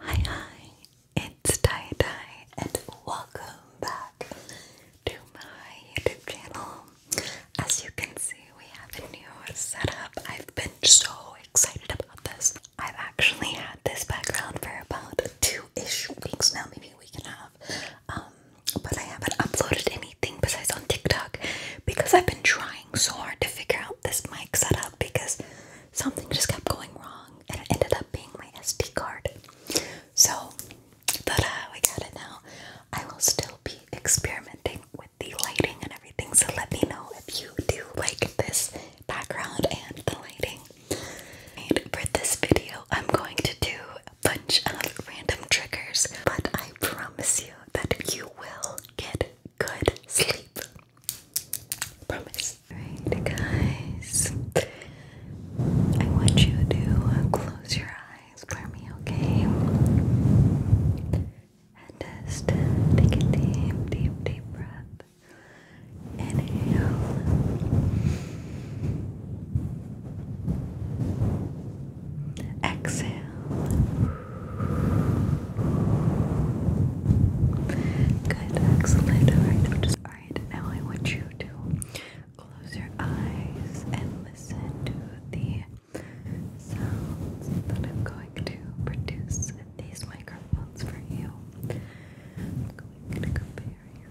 Hi, hi, it's Dai and welcome back to my YouTube channel. As you can see, we have a new setup. I've been so excited about this. I've actually had this background for about two-ish weeks now, maybe we can have, Um, but I haven't uploaded anything besides on TikTok because I've been trying so hard to figure out this mic setup because something just kept going wrong and it ended up being my SD card. So, but uh, we got it now. I will still be experimenting with the lighting and everything. So let me know if you do like this background and the lighting. And for this video, I'm going to do a bunch of random triggers, but I promise you that you will get good sleep. Promise. Alright, guys. I want you to close your eyes for okay? And just take a deep, deep, deep breath. Inhale. Exhale. Good, excellent. Alright, Now I want you to close your eyes and listen to the sounds that I'm going to produce these microphones for you. I'm going to compare your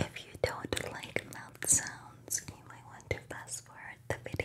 If you don't like mouth sounds, you might want to fast forward the video.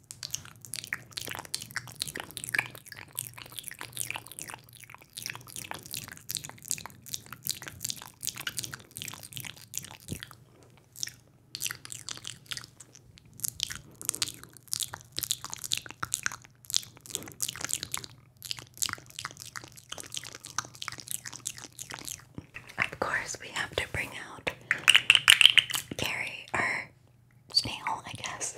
Of course, we have to bring out Carrie, our snail, I guess.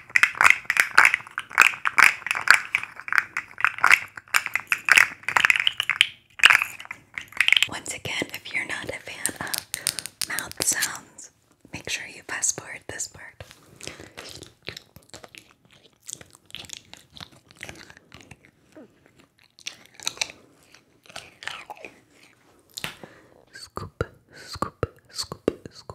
Once again, if you're not a fan of mouth sounds, make sure you fast forward this part. Scoop, scoop, scoop, scoop,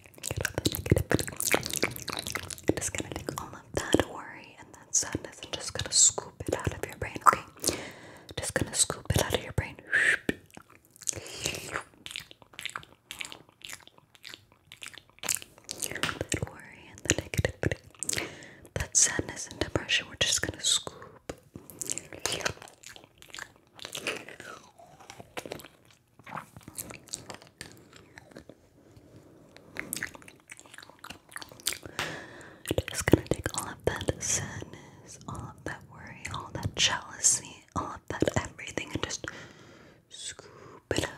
i just gonna take all of that worry and that sadness and just gonna scoop it out of your brain, okay? Just gonna scoop it out of your brain. That worry and the negativity, that sadness and depression, we're just gonna scoop. Just gonna take all of that sadness, all of that worry, all that jealousy, all of that everything, and just scoop it out.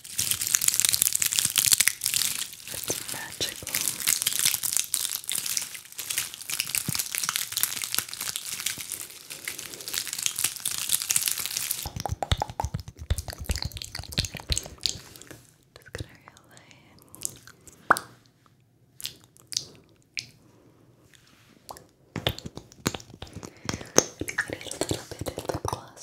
It's magical. Just going a little bit of the gloss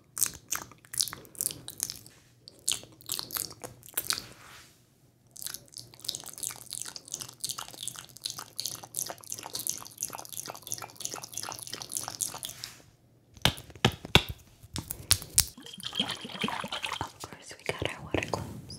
Of course, we got our water gloves.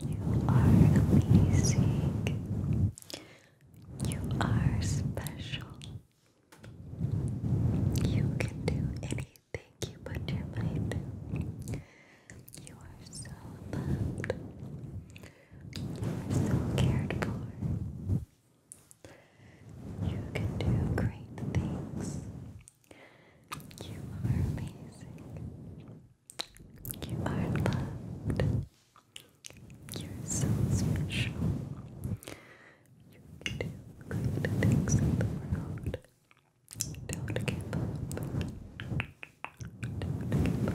You are amazing. You are special. You can do anything you put your mind to. You are so loved. You are so cared for. You can do great things. You are amazing. You are loved. You're so special. You can do great things in the world. Don't give up. Don't give up.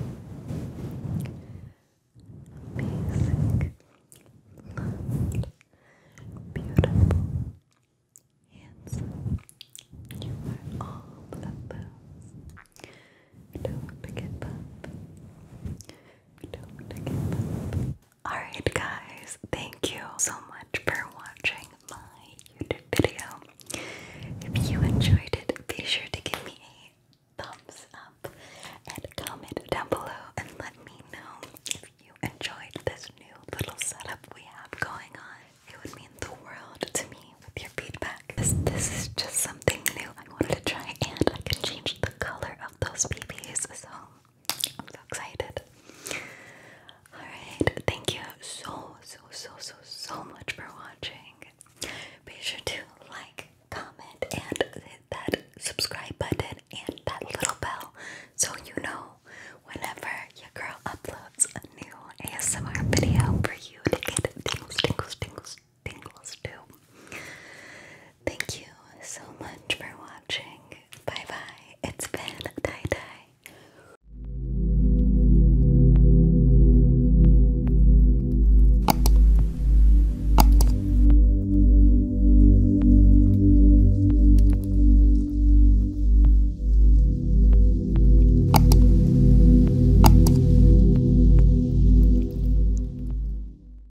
Amazing, beautiful, handsome. You are all of those. Don't give up. Don't give up. Alright, guys, thank you so much for watching my YouTube video. If you enjoyed it, be sure to give me a thumbs up and comment down below and let me know if you enjoyed this new little setup we have going on. It would mean the world to me with your feedback. This, is just something new I wanted to try, and I can change the color of those babies. So I'm so excited. Alright, thank you so, so, so, so, so much for watching. Be sure to like, comment, and hit that subscribe button and that little bell so you know whenever your girl uploads a new ASMR video for you to get tingles, tingles, tingles, tingles too. Thank you so much for watching. Bye bye. It's been Dai Dai.